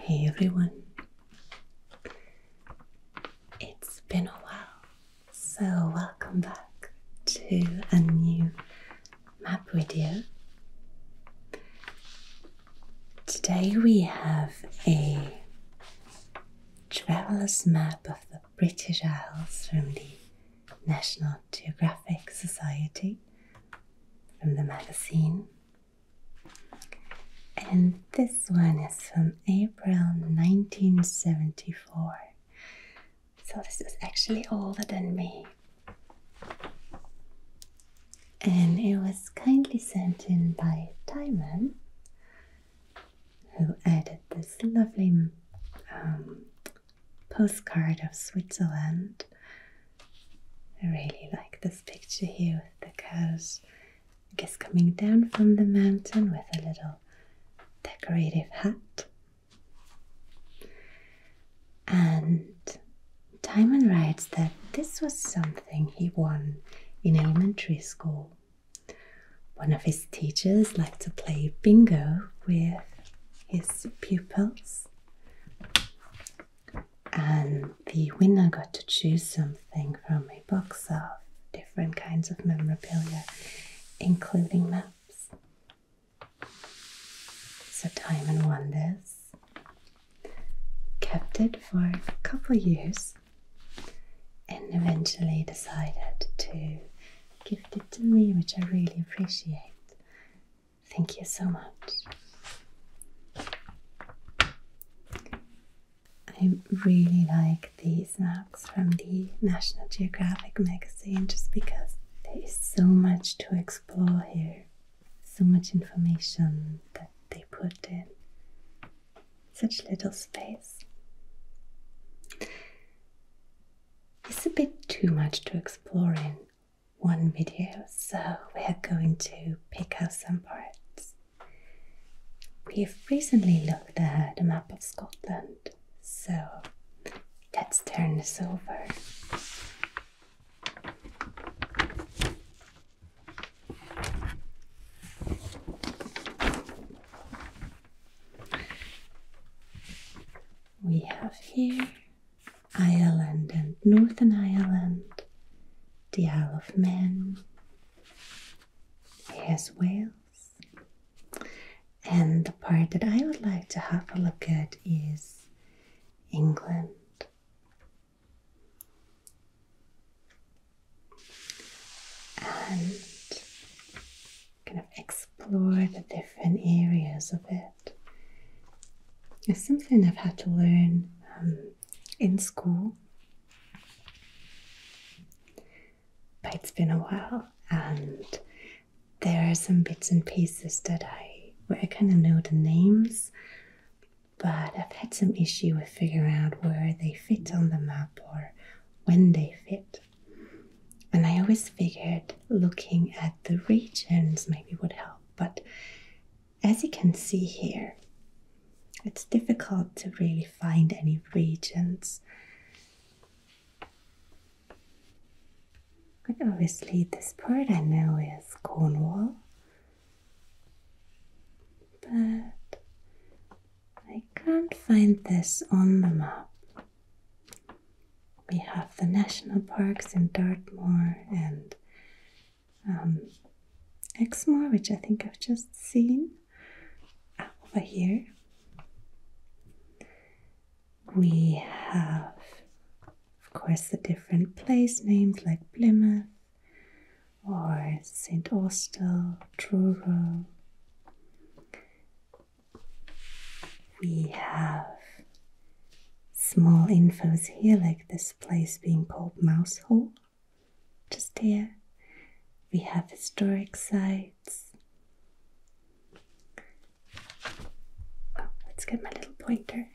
Hey everyone, it's been a while, so welcome back to a new map video. Today we have a traveller's map of the British Isles from the National Geographic Society from the magazine. And this one is from April 1974. So this is actually older than me. And it was kindly sent in by Timon, who added this lovely um, postcard of Switzerland I really like this picture here with the cows, I guess coming down from the mountain with a little decorative hat. And Diamond writes that this was something he won in elementary school. One of his teachers liked to play bingo with his pupils and the winner got to choose something from a box of different kinds of memorabilia, including maps. So Diamond won this, kept it for a couple years, and eventually decided to gift it to me, which I really appreciate. Thank you so much. I really like these maps from the National Geographic magazine just because there is so much to explore here, so much information that they put in such little space. It's a bit too much to explore in one video, so we're going to pick out some parts. We've recently looked at a map of Scotland, so let's turn this over. We have here Ireland and Northern Ireland, the Isle of Man, here's Wales, and the part that I would like to have a look at is England. And kind of explore the different areas of it. It's something I've had to learn um, in school. But it's been a while, and there are some bits and pieces that I where I kind of know the names, but I've had some issue with figuring out where they fit on the map or when they fit. And I always figured looking at the regions maybe would help, but as you can see here, it's difficult to really find any regions. obviously, this part I know is Cornwall. But I can't find this on the map. We have the national parks in Dartmoor and um, Exmoor, which I think I've just seen uh, over here. We have, of course, the different place names like Plymouth or St. Austell, Truro. We have small infos here, like this place being called Mouse Hole. Just here, we have historic sites. Oh, let's get my little pointer.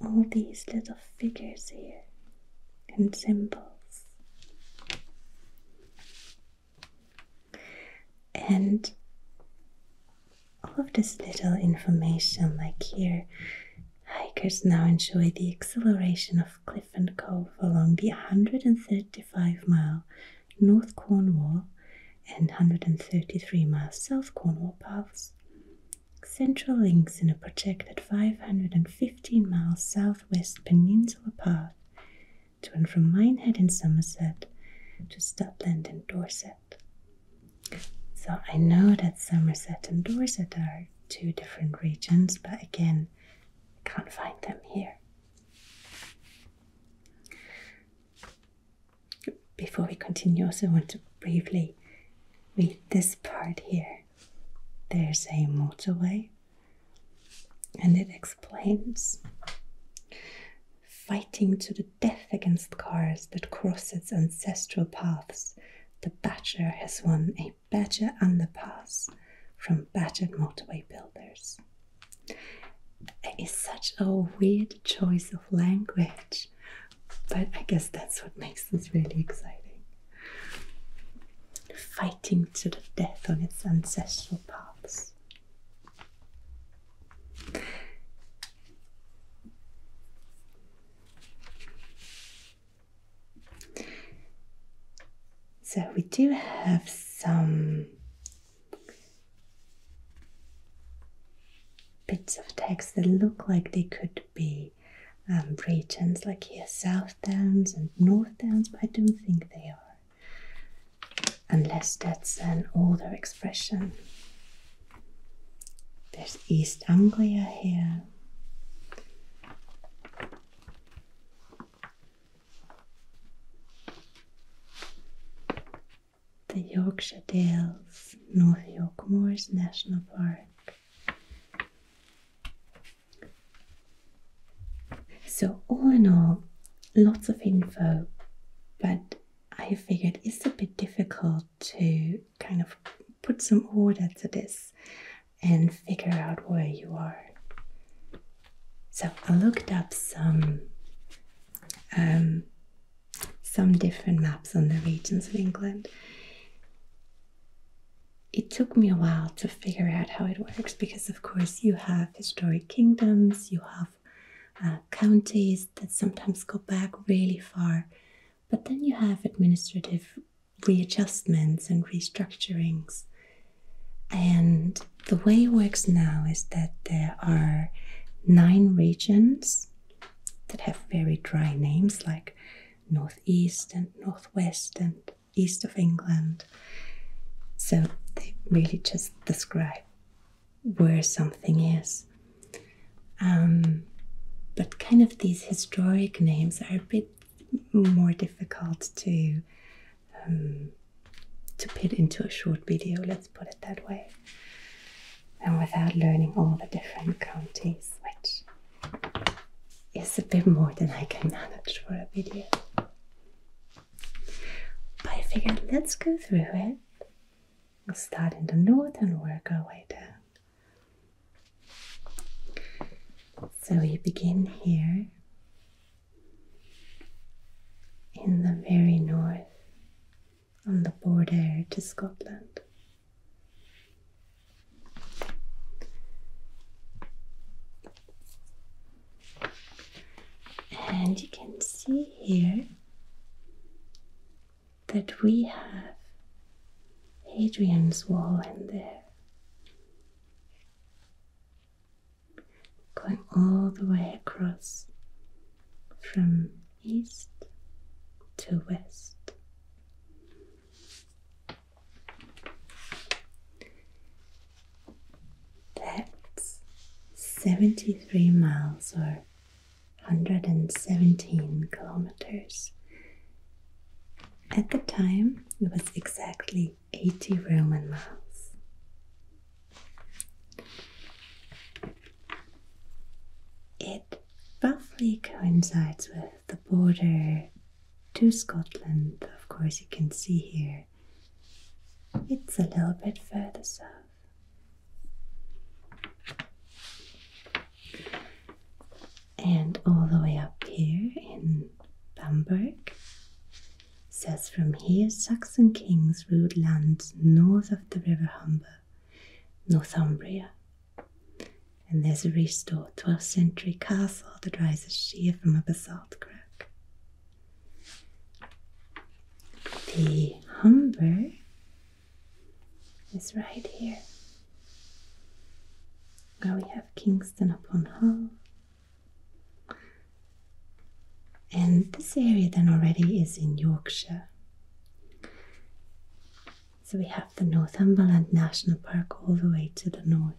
All these little figures here and symbols. And all of this little information, like here, hikers now enjoy the exhilaration of cliff and cove along the 135 mile North Cornwall and 133 mile South Cornwall paths. Central links in a projected 515 mile southwest peninsula path to and from Minehead in Somerset to Stutland in Dorset. So I know that Somerset and Dorset are two different regions, but again, I can't find them here. Before we continue, I also want to briefly read this part here. There's a motorway, and it explains fighting to the death against cars that cross its ancestral paths, the Badger has won a Badger underpass from Badger motorway builders. It's such a weird choice of language, but I guess that's what makes this really exciting. Fighting to the death on its ancestral paths. So we do have some bits of text that look like they could be um, regions, like here, South Downs and North Downs, but I don't think they are unless that's an older expression. There's East Anglia here. The Yorkshire Dales, North York Moors National Park. So, all in all, lots of info, but I figured it's a bit difficult to kind of put some order to this and figure out where you are. So I looked up some um, some different maps on the regions of England. It took me a while to figure out how it works because, of course, you have historic kingdoms, you have uh, counties that sometimes go back really far. But then you have administrative readjustments and restructurings. And the way it works now is that there are nine regions that have very dry names like Northeast and Northwest and East of England. So they really just describe where something is. Um, but kind of these historic names are a bit more difficult to um, to put into a short video. Let's put it that way, and without learning all the different counties, which is a bit more than I can manage for a video. But I figured let's go through it We'll start in the north and work our way down. So we begin here in the very north on the border to Scotland. And you can see here that we have Hadrian's Wall in there, going all the way across from east to west. That's 73 miles or 117 kilometers. At the time, it was exactly 80 Roman miles. It roughly coincides with the border to Scotland. Of course, you can see here it's a little bit further south. And all the way up here in Bamberg says from here Saxon kings ruled lands north of the river Humber, Northumbria. And there's a restored 12th century castle that rises sheer from a basalt crack. The Humber is right here, where we have Kingston upon Hull. And this area then already is in Yorkshire. So we have the Northumberland National Park all the way to the north.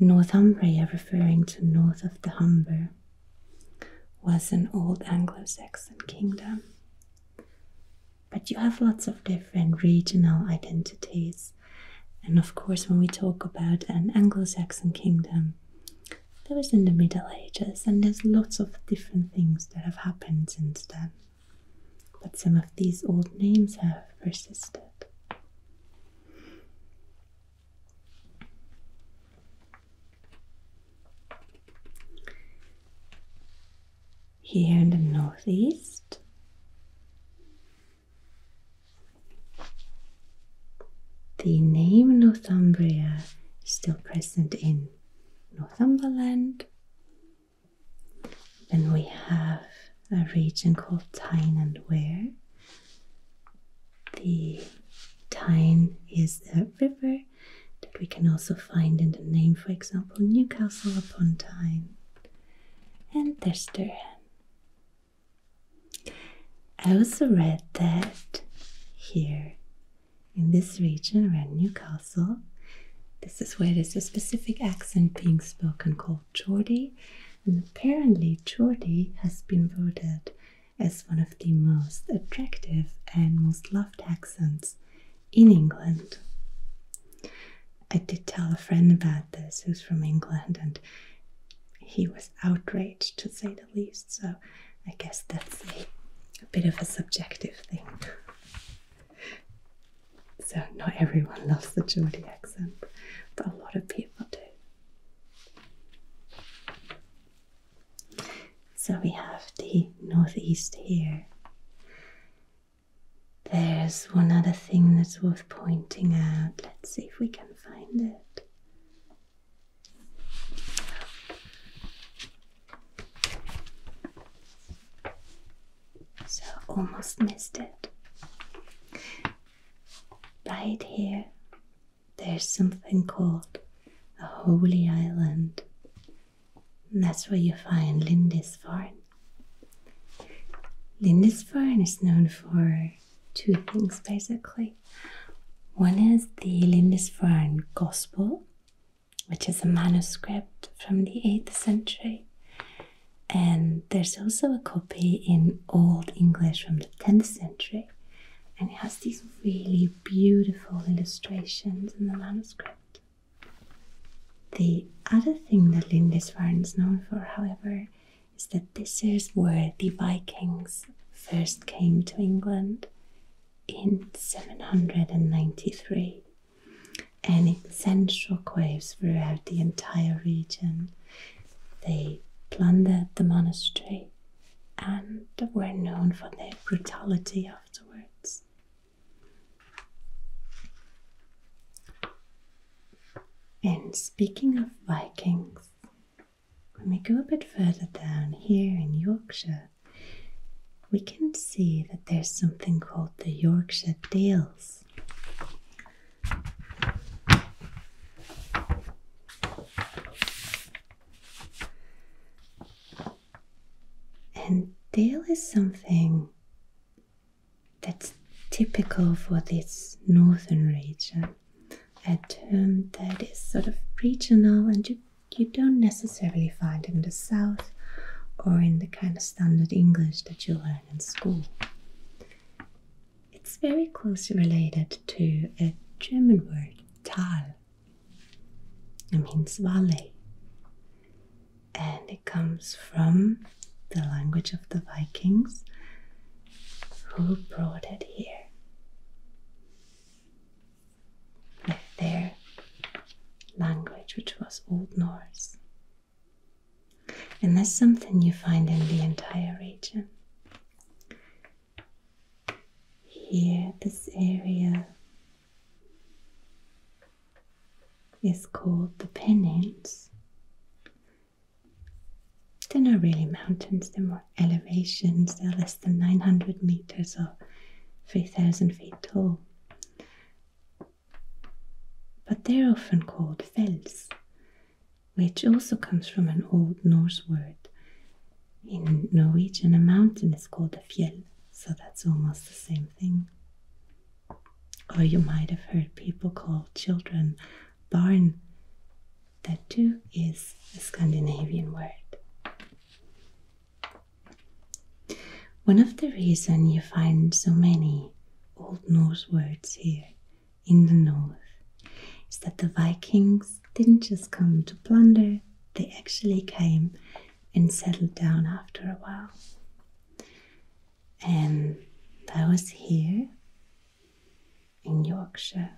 Northumbria referring to north of the Humber was an old Anglo Saxon kingdom. But you have lots of different regional identities. And of course, when we talk about an Anglo Saxon kingdom, that was in the Middle Ages, and there's lots of different things that have happened since then. But some of these old names have persisted. Here in the northeast, the name Northumbria is still present in Northumberland. Then we have a region called Tyne and Wear, the Tyne is a river that we can also find in the name, for example, Newcastle upon Tyne and Thesterham. I also read that here in this region around Newcastle, this is where there's a specific accent being spoken called Geordie, and apparently Geordie has been voted as one of the most attractive and most loved accents in England. I did tell a friend about this who's from England, and he was outraged to say the least, so I guess that's a, bit of a subjective thing. so, not everyone loves the Geordie accent, but a lot of people do. So we have the northeast here. There's one other thing that's worth pointing out. Let's see if we can find it. So almost missed it. Right here there's something called a holy island. And that's where you find Lindisfarne. Lindisfarne is known for two things basically. One is the Lindisfarne Gospel, which is a manuscript from the 8th century. And there's also a copy in Old English from the 10th century. And it has these really beautiful illustrations in the manuscript. The other thing that Lindisfarne is known for, however, is that this is where the Vikings first came to England in 793 and it sent shockwaves throughout the entire region. They plundered the monastery, and were known for their brutality afterwards. And speaking of Vikings, when we go a bit further down here in Yorkshire, we can see that there's something called the Yorkshire Dales. And tail is something that's typical for this northern region. A term that is sort of regional and you, you don't necessarily find in the south or in the kind of standard English that you learn in school. It's very closely related to a German word, Tal, it means valley. And it comes from the language of the Vikings who brought it here with their language, which was Old Norse. And that's something you find in the entire region. Here, this area is called the Pennines. They're not really mountains, they're more elevations. They're less than 900 meters or 3,000 feet tall. But they're often called fells, which also comes from an old Norse word in Norwegian, a mountain is called a fjell, so that's almost the same thing. Or you might have heard people call children barn. That too is a Scandinavian word. One of the reasons you find so many Old Norse words here in the north is that the Vikings didn't just come to plunder, they actually came and settled down after a while. And that was here in Yorkshire.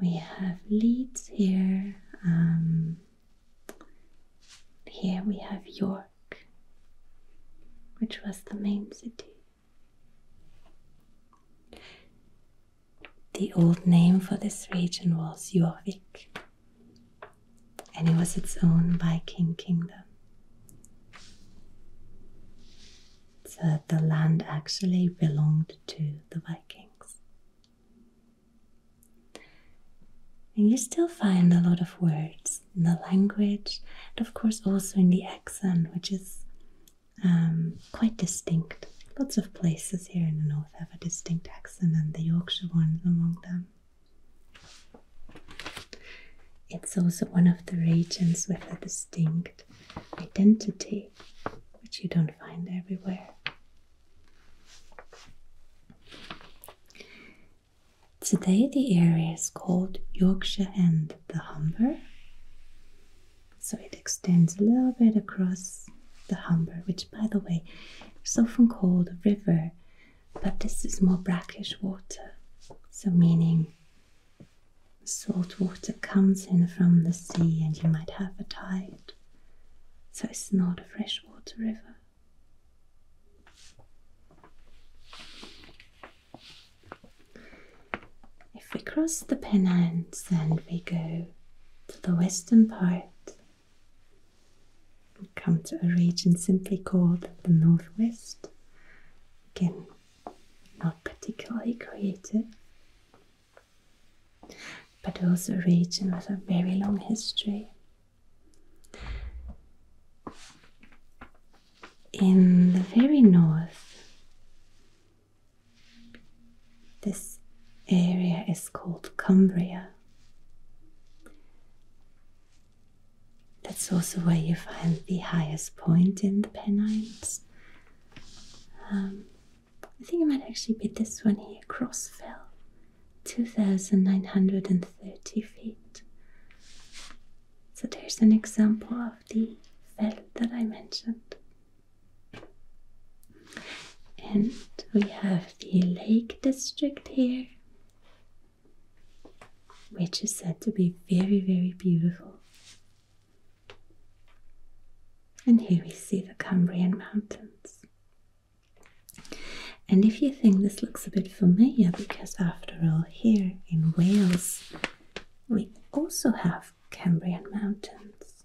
We have Leeds here. Um, here we have York, which was the main city. The old name for this region was Jorvik, and it was its own Viking kingdom. So the land actually belonged to the Vikings. And you still find a lot of words in the language, and of course also in the accent, which is um, quite distinct. Lots of places here in the north have a distinct accent, and the Yorkshire one among them. It's also one of the regions with a distinct identity, which you don't find everywhere. Today, the area is called Yorkshire and the Humber, so it extends a little bit across the Humber, which, by the way, is often called a river, but this is more brackish water, so meaning salt water comes in from the sea and you might have a tide. So it's not a freshwater river. If we cross the Pennines and we go to the western part, we come to a region simply called the Northwest. Again, not particularly creative, but also a region with a very long history. In the very north, this area is called Cumbria. That's also where you find the highest point in the Pennines. Um, I think it might actually be this one here, Fell, 2,930 feet. So there's an example of the fell that I mentioned. And we have the Lake District here, which is said to be very, very beautiful. And here we see the Cumbrian Mountains. And if you think this looks a bit familiar, because after all, here in Wales, we also have Cambrian mountains.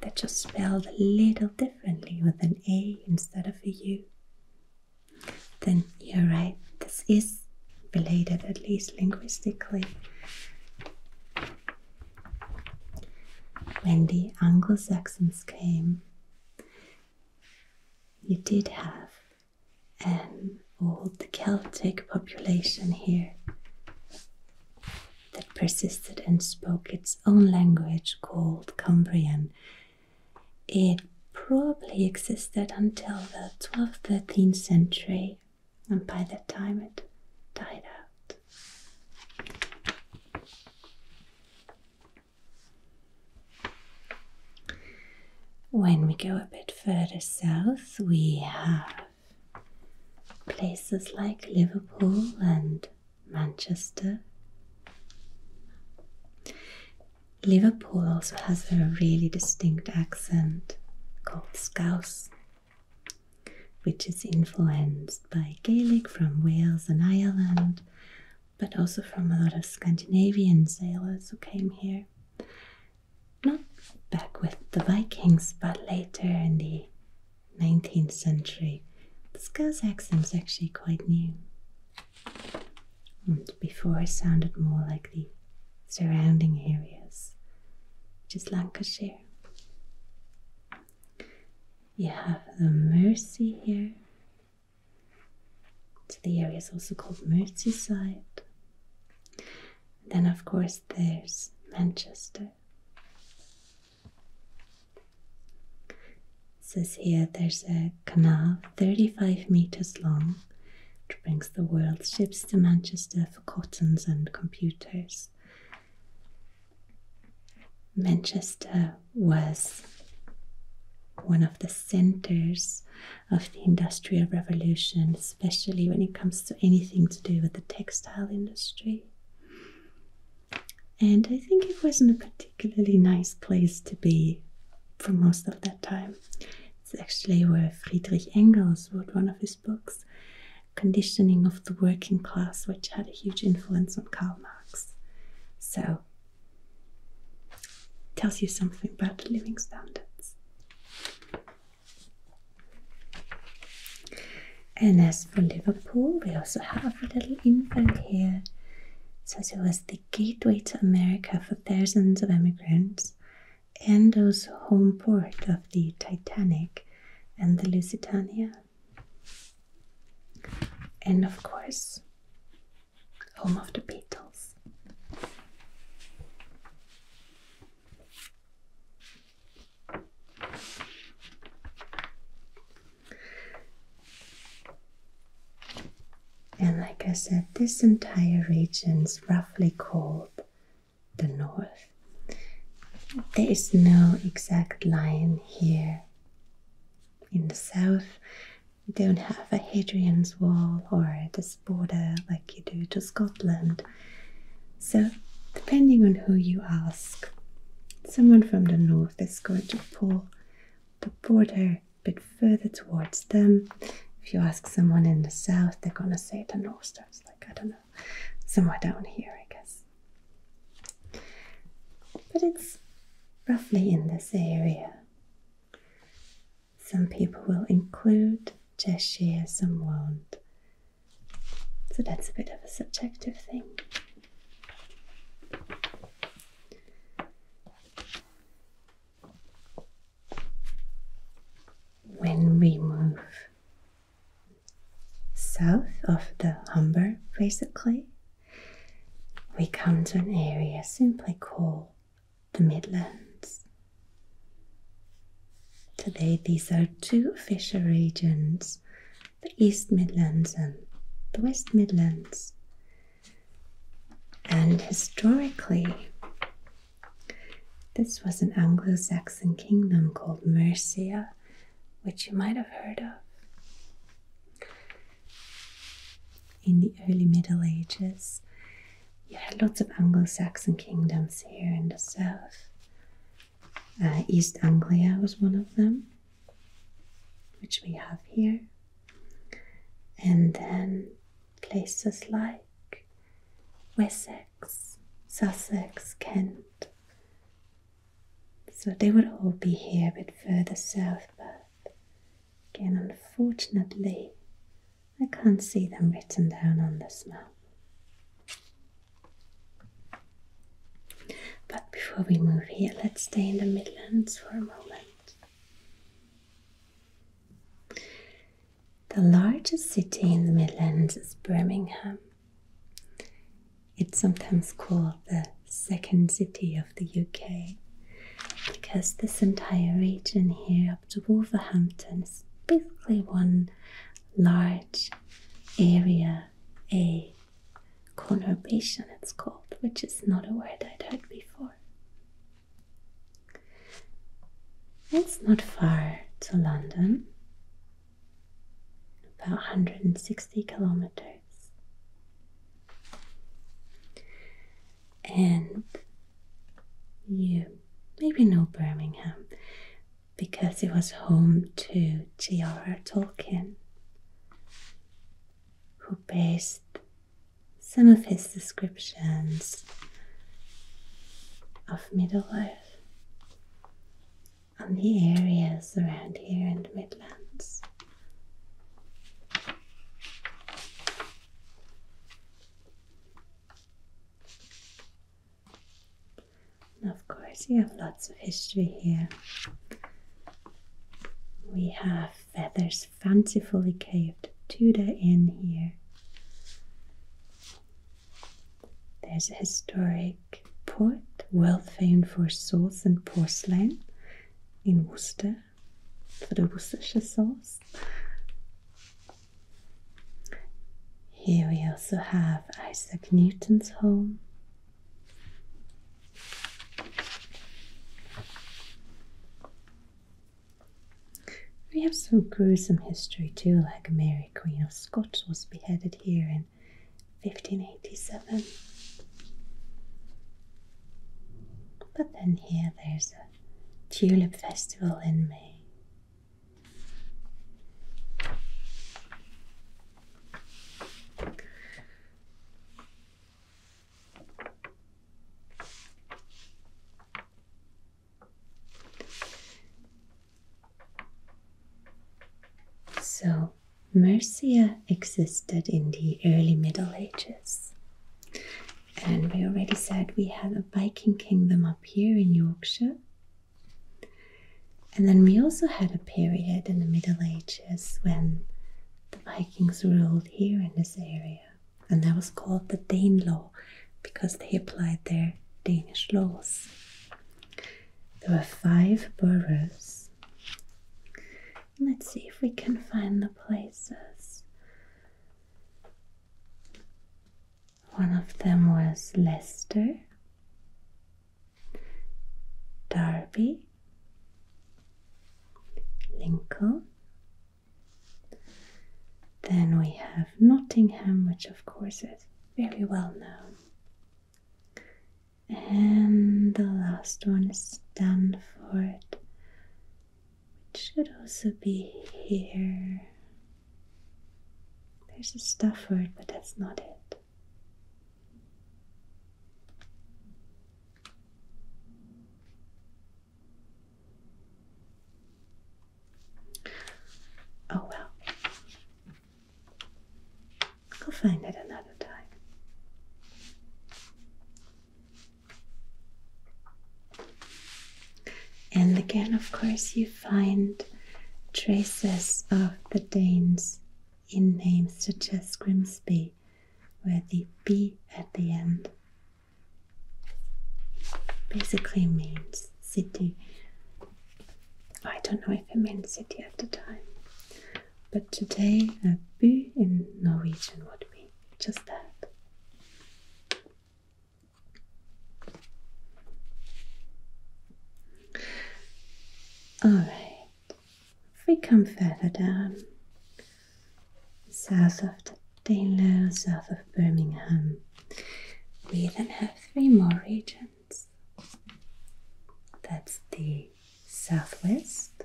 That just spelled a little differently with an A instead of a U. Then you're right, this is related at least linguistically. When the Anglo Saxons came, you did have an old Celtic population here that persisted and spoke its own language called Cumbrian. It probably existed until the 12th, 13th century, and by that time it died out. When we go a bit further south, we have places like Liverpool and Manchester. Liverpool also has a really distinct accent called Scouse, which is influenced by Gaelic from Wales and Ireland, but also from a lot of Scandinavian sailors who came here not back with the Vikings, but later in the 19th century. the This accent is actually quite new. And before it sounded more like the surrounding areas, which is Lancashire. You have the Mersey here. So the area is also called Merseyside. Then, of course, there's Manchester. It says here there's a canal 35 meters long, which brings the world's ships to Manchester for cottons and computers. Manchester was one of the centers of the Industrial Revolution, especially when it comes to anything to do with the textile industry. And I think it wasn't a particularly nice place to be for most of that time. It's actually where Friedrich Engels wrote one of his books, Conditioning of the Working Class, which had a huge influence on Karl Marx. So, tells you something about living standards. And as for Liverpool, we also have a little info here. It says it was the gateway to America for thousands of immigrants and also home port of the Titanic and the Lusitania. And of course, home of the Beatles. And like I said, this entire region is roughly called the north. There is no exact line here. In the south, we don't have a Hadrian's Wall or the border like you do to Scotland. So, depending on who you ask, someone from the north is going to pull the border a bit further towards them. If you ask someone in the south, they're going to say the north starts like, I don't know, somewhere down here, I guess. But it's roughly in this area. Some people will include just Cheshire, some won't. So that's a bit of a subjective thing. When we move south of the Humber, basically, we come to an area simply called the Midlands. Today, these are two official regions the East Midlands and the West Midlands. And historically, this was an Anglo Saxon kingdom called Mercia, which you might have heard of. In the early Middle Ages, you had lots of Anglo-Saxon kingdoms here in the south. Uh, East Anglia was one of them, which we have here. And then places like Wessex, Sussex, Kent. So they would all be here a bit further south, but again, unfortunately, I can't see them written down on this map. But before we move here, let's stay in the Midlands for a moment. The largest city in the Midlands is Birmingham. It's sometimes called the second city of the UK because this entire region here up to Wolverhampton. It's basically one large area, a conurbation it's called, which is not a word I'd heard before. It's not far to London, about 160 kilometers. And you maybe no Birmingham because it was home to J.R.R. Tolkien, who based some of his descriptions of Middle Earth on the areas around here in the Midlands. And of course, you have lots of history here. We have feathers fancifully caved Tudor in here. There's a historic port, well famed for sauce and porcelain in Worcester, for the Worcestershire sauce. Here we also have Isaac Newton's home. We have some gruesome history too, like Mary Queen of Scots was beheaded here in 1587. But then here there's a tulip festival in May. So, Mercia existed in the early Middle Ages. And we already said we had a Viking kingdom up here in Yorkshire. And then we also had a period in the Middle Ages when the Vikings ruled here in this area, and that was called the Danelaw because they applied their Danish laws. There were five boroughs. Let's see if we can find the places. One of them was Leicester, Derby, Lincoln. Then we have Nottingham, which of course is very well known. And the last one is Stanford, which should also be here. There's a stuff word, but that's not it. Oh well. I'll find it another time. And again, of course, you find traces of the Danes in names such as Grimsby, where the B at the end basically means city. I don't know if it meant city at the time, but today a in Norwegian would mean just that. All right, if we come further down, south of the Danelaw, south of Birmingham, we then have three more regions. That's the southwest,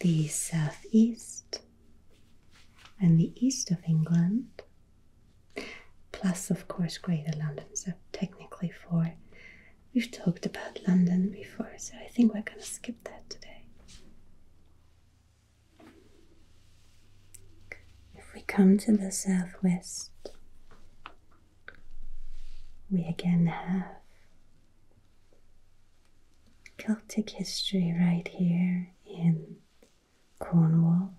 the southeast, and the east of England, plus, of course, Greater London. So, technically, four. We've talked about London before, so I think we're going to skip that today. If we come to the southwest, we again have Celtic history right here in Cornwall,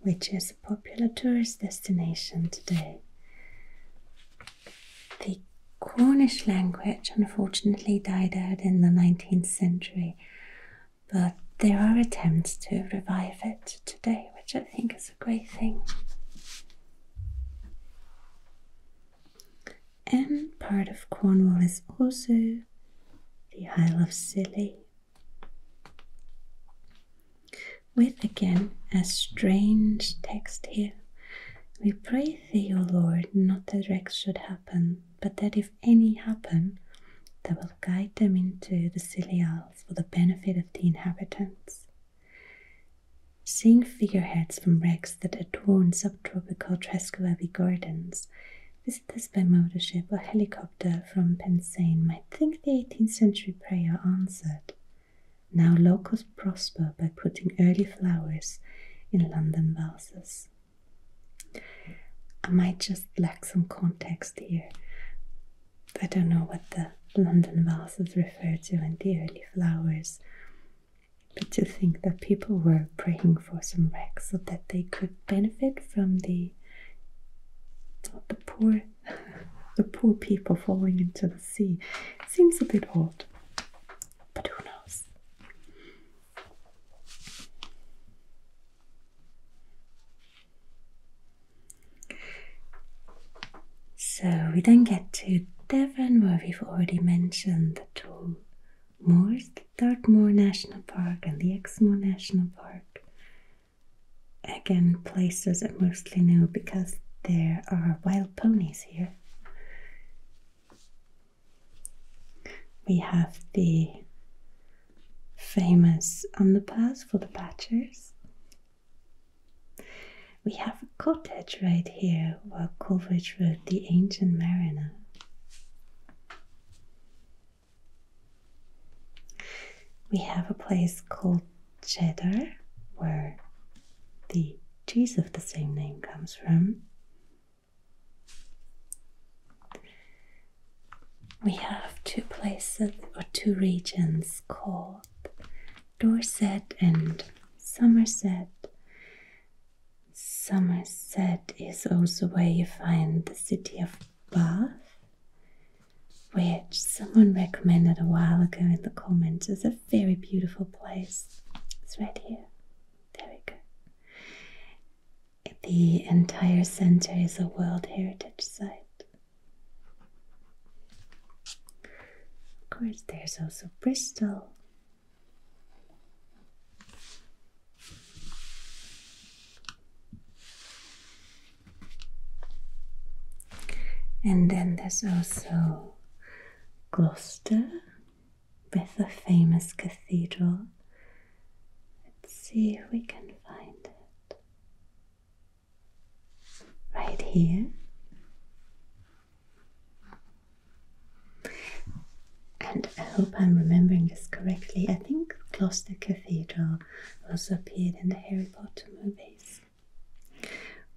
which is a popular tourist destination today. The Cornish language unfortunately died out in the 19th century, but there are attempts to revive it today, which I think is a great thing and part of Cornwall is also the Isle of Scilly, with again a strange text here. We pray thee, O Lord, not that wrecks should happen, but that if any happen, thou wilt guide them into the Scilly Isles for the benefit of the inhabitants. Seeing figureheads from wrecks that adorn subtropical Tresco Abbey gardens, visitors by motorship or helicopter from Pensaine might think the 18th century prayer answered. Now locals prosper by putting early flowers in London vases. I might just lack some context here. I don't know what the London vases refer to and the early flowers. But to think that people were praying for some wrecks so that they could benefit from the the poor the poor people falling into the sea seems a bit odd. But who knows? So we then get to Devon, where we've already mentioned the tool Moors, Dartmoor National Park and the Exmoor National Park. Again, places I mostly know because there are wild ponies here. We have the famous on the pass for the Badgers. We have a cottage right here, where Coleridge wrote The Ancient Mariner. We have a place called Cheddar where the cheese of the same name comes from. We have two places or two regions called Dorset and Somerset, Somerset is also where you find the city of Bath, which someone recommended a while ago in the comments as a very beautiful place. It's right here. There we go. The entire center is a World Heritage Site. Of course, there's also Bristol, and then there's also Gloucester with a famous cathedral. Let's see if we can find it. Right here. And I hope I'm remembering this correctly. I think Gloucester Cathedral also appeared in the Harry Potter movies.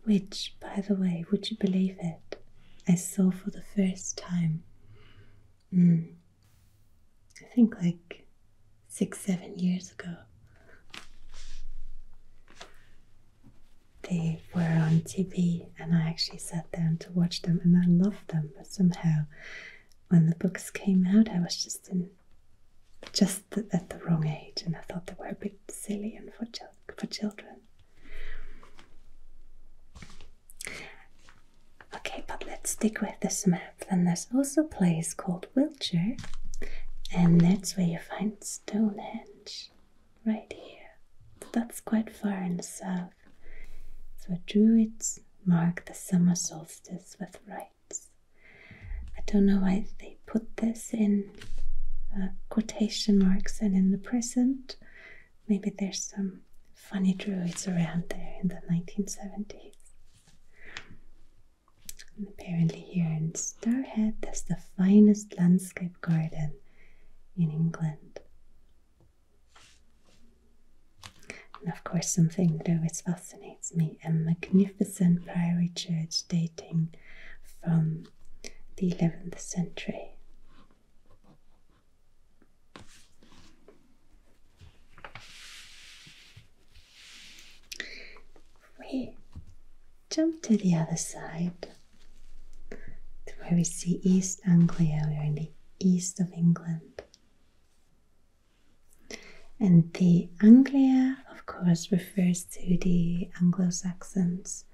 Which, by the way, would you believe it? I saw for the first time. Hmm, I think like six, seven years ago. They were on TV and I actually sat down to watch them and I loved them, but somehow when the books came out I was just in just at the wrong age and I thought they were a bit silly and for, for children. Okay, but let's stick with this map. Then there's also a place called Wiltshire, and that's where you find Stonehenge, right here. That's quite far in the south. So Druids mark the summer solstice with rites. I don't know why they put this in uh, quotation marks and in the present. Maybe there's some funny druids around there in the 1970s. apparently, here in Starhead, there's the finest landscape garden in England. And of course, something that always fascinates me a magnificent priory church dating from the 11th century. We jump to the other side, to where we see East Anglia, we east of England. And the Anglia, of course, refers to the Anglo Saxons.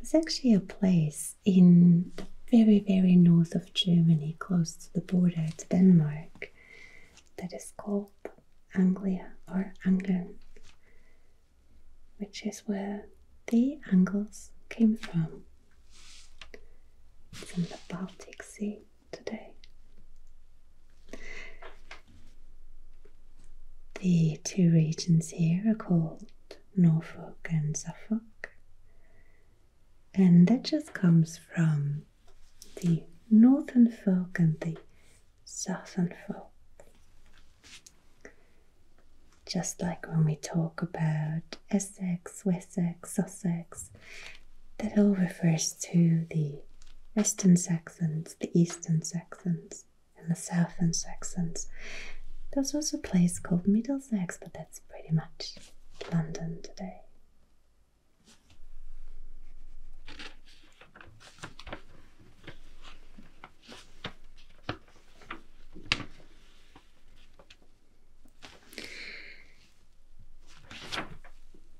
It's actually a place in the very, very north of Germany, close to the border to Denmark, that is called Anglia or Angeln, which is where the Angles came from. It's in the Baltic Sea today. The two regions here are called Norfolk and Suffolk, and that just comes from the northern folk and the southern folk. Just like when we talk about Essex, Wessex, Sussex, that all refers to the Western Saxons, the Eastern Saxons, and the Southern Saxons. There's also a place called Middlesex, but that's pretty much London today.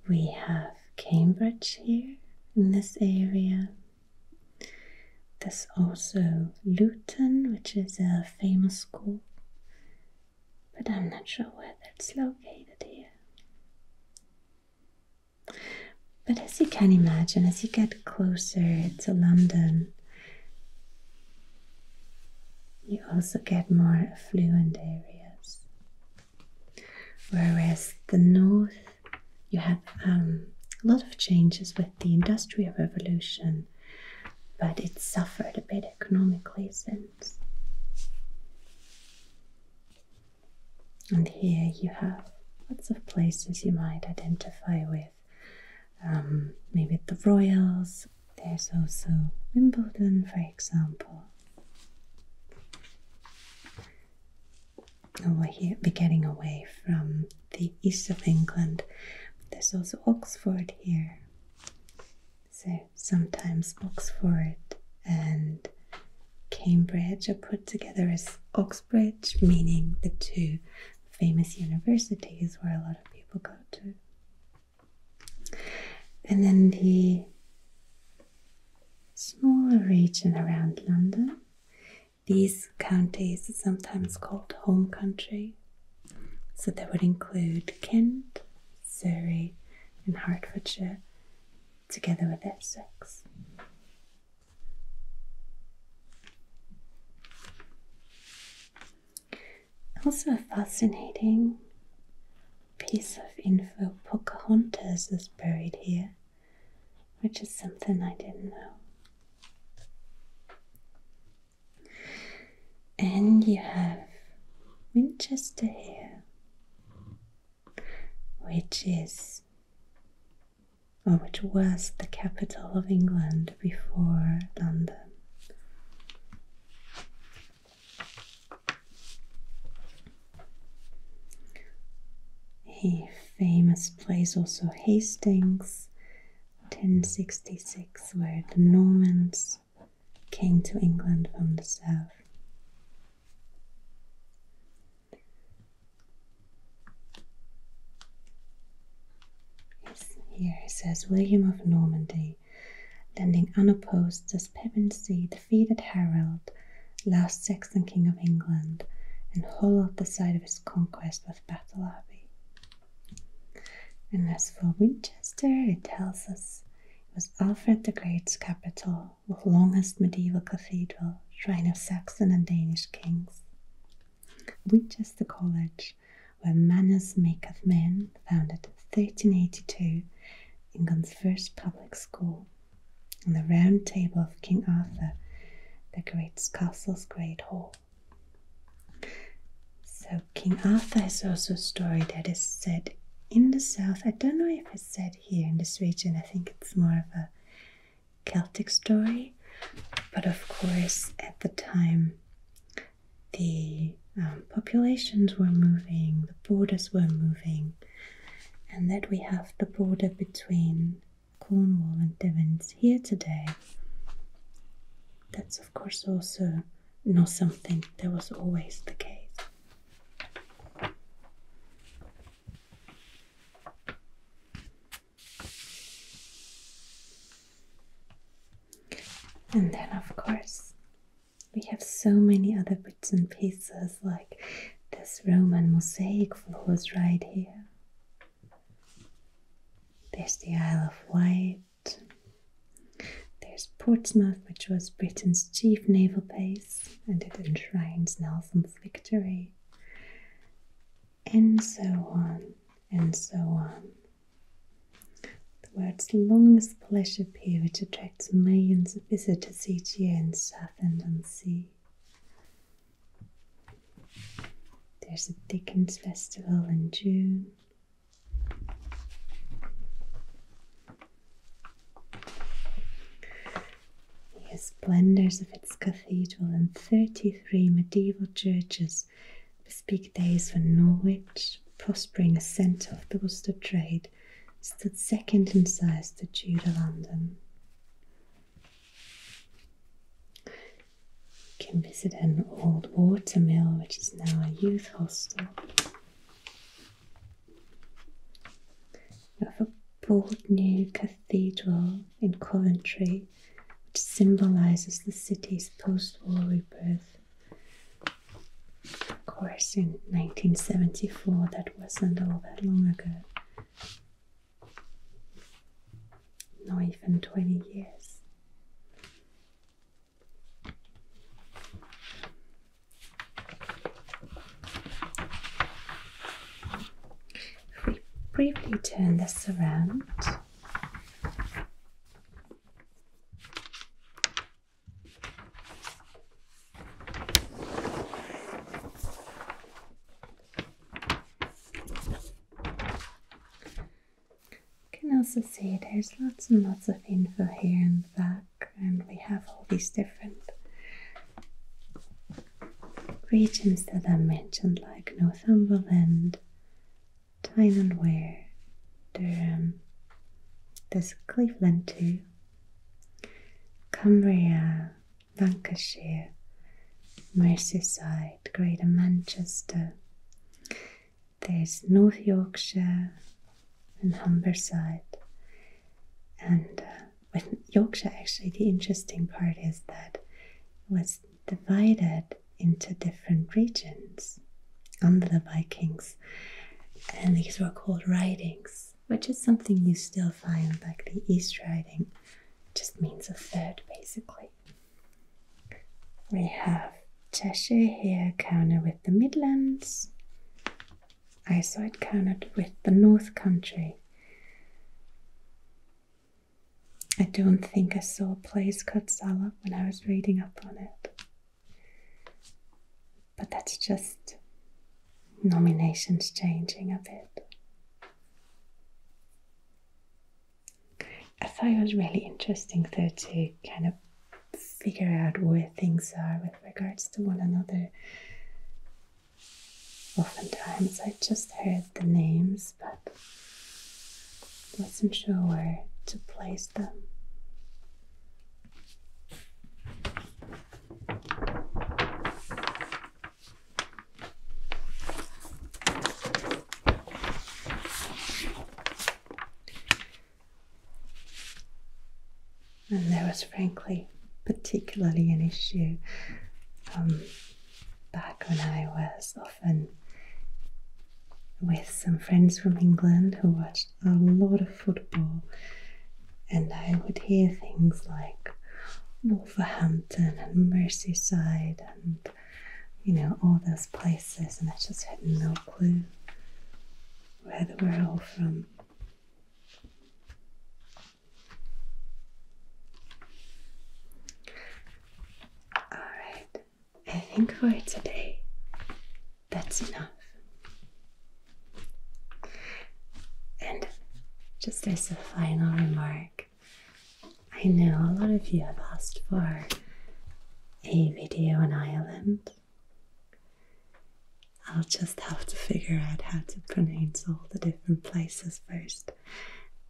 We have Cambridge here in this area. There's also Luton, which is a famous school, but I'm not sure whether it's located here. But as you can imagine, as you get closer to London, you also get more affluent areas, whereas the north you have um, a lot of changes with the industrial revolution, but it suffered a bit economically since. And here you have lots of places you might identify with with um, maybe the Royals. There's also Wimbledon, for example. Over here, we're getting away from the east of England. There's also Oxford here. So sometimes Oxford and Cambridge are put together as Oxbridge, meaning the two famous universities where a lot of people go. And then the smaller region around London. These counties are sometimes called home country. So that would include Kent, Surrey, and Hertfordshire together with Essex. Also, a fascinating piece of info Pocahontas is buried here, which is something I didn't know. And you have Winchester here, which is, or which was the capital of England before London. A famous place also Hastings 1066 where the Normans came to England from the south here he says William of Normandy, landing unopposed as Pevensey defeated Harold, last Saxon king of England, and hollowed the site of his conquest with Battle Abbey. And as for Winchester, it tells us it was Alfred the Great's capital, with longest medieval cathedral, shrine of Saxon and Danish kings. Winchester College where Manners make of Men, founded 1382, England's first public school, and the Round Table of King Arthur decorates Castle's Great Hall. So King Arthur is also a story that is said in the south. I don't know if it's said here in this region. I think it's more of a Celtic story, but of course at the time the um, populations were moving, the borders were moving, and that we have the border between Cornwall and Devon here today. That's, of course, also not something that was always the case. And then, of course, we have so many other bits and pieces, like this Roman mosaic floors right here. There's the Isle of Wight. There's Portsmouth, which was Britain's chief naval base, and it enshrines Nelson's victory, and so on and so on. Um, the world's longest pleasure pier, which attracts millions of visitors each year in Southend-on-Sea. There's a Dickens Festival in June. The splendors of its cathedral and 33 medieval churches Peak days when Norwich, prospering centre of the Worcester trade, stood second in size to Tudor London. You can visit an old water mill, which is now a youth hostel. You have a bold new cathedral in Coventry, which symbolizes the city's post war rebirth. Of course, in 1974, that wasn't all that long ago. Not even 20 years. If we briefly turn this around, you can also see there's lots and lots of info here in the back, and we have all these different regions that are mentioned, like Northumberland, time and wear. There, um, there's Cleveland too, Cumbria, Lancashire, Merseyside, Greater Manchester. There's North Yorkshire and Humberside. And uh, Yorkshire, actually, the interesting part is that it was divided into different regions under the Vikings. And these were called ridings, which is something you still find, like the East Riding, just means a third basically. We have Cheshire here counted with the Midlands, I saw it counted with the North Country. I don't think I saw a place called Sala when I was reading up on it. But that's just nominations changing a bit. I thought it was really interesting though to kind of figure out where things are with regards to one another. Oftentimes I just heard the names, but wasn't sure where to place them. And there was frankly particularly an issue um, back when I was and with some friends from England who watched a lot of football, and I would hear things like Wolverhampton and Merseyside and you know, all those places, and I just had no clue where they were all from. All right, I think for today, that's enough. And just as a final remark, I know a lot of you have asked for a video on Ireland. I'll just have to figure out how to pronounce all the different places first.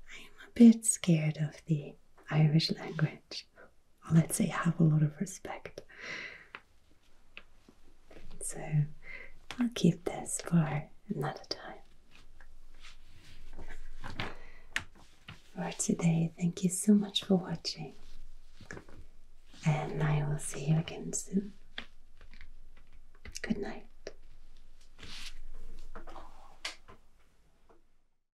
I'm a bit scared of the Irish language let's say, have a lot of respect. So I'll keep this for another time. For today, thank you so much for watching, and I will see you again soon. Good night.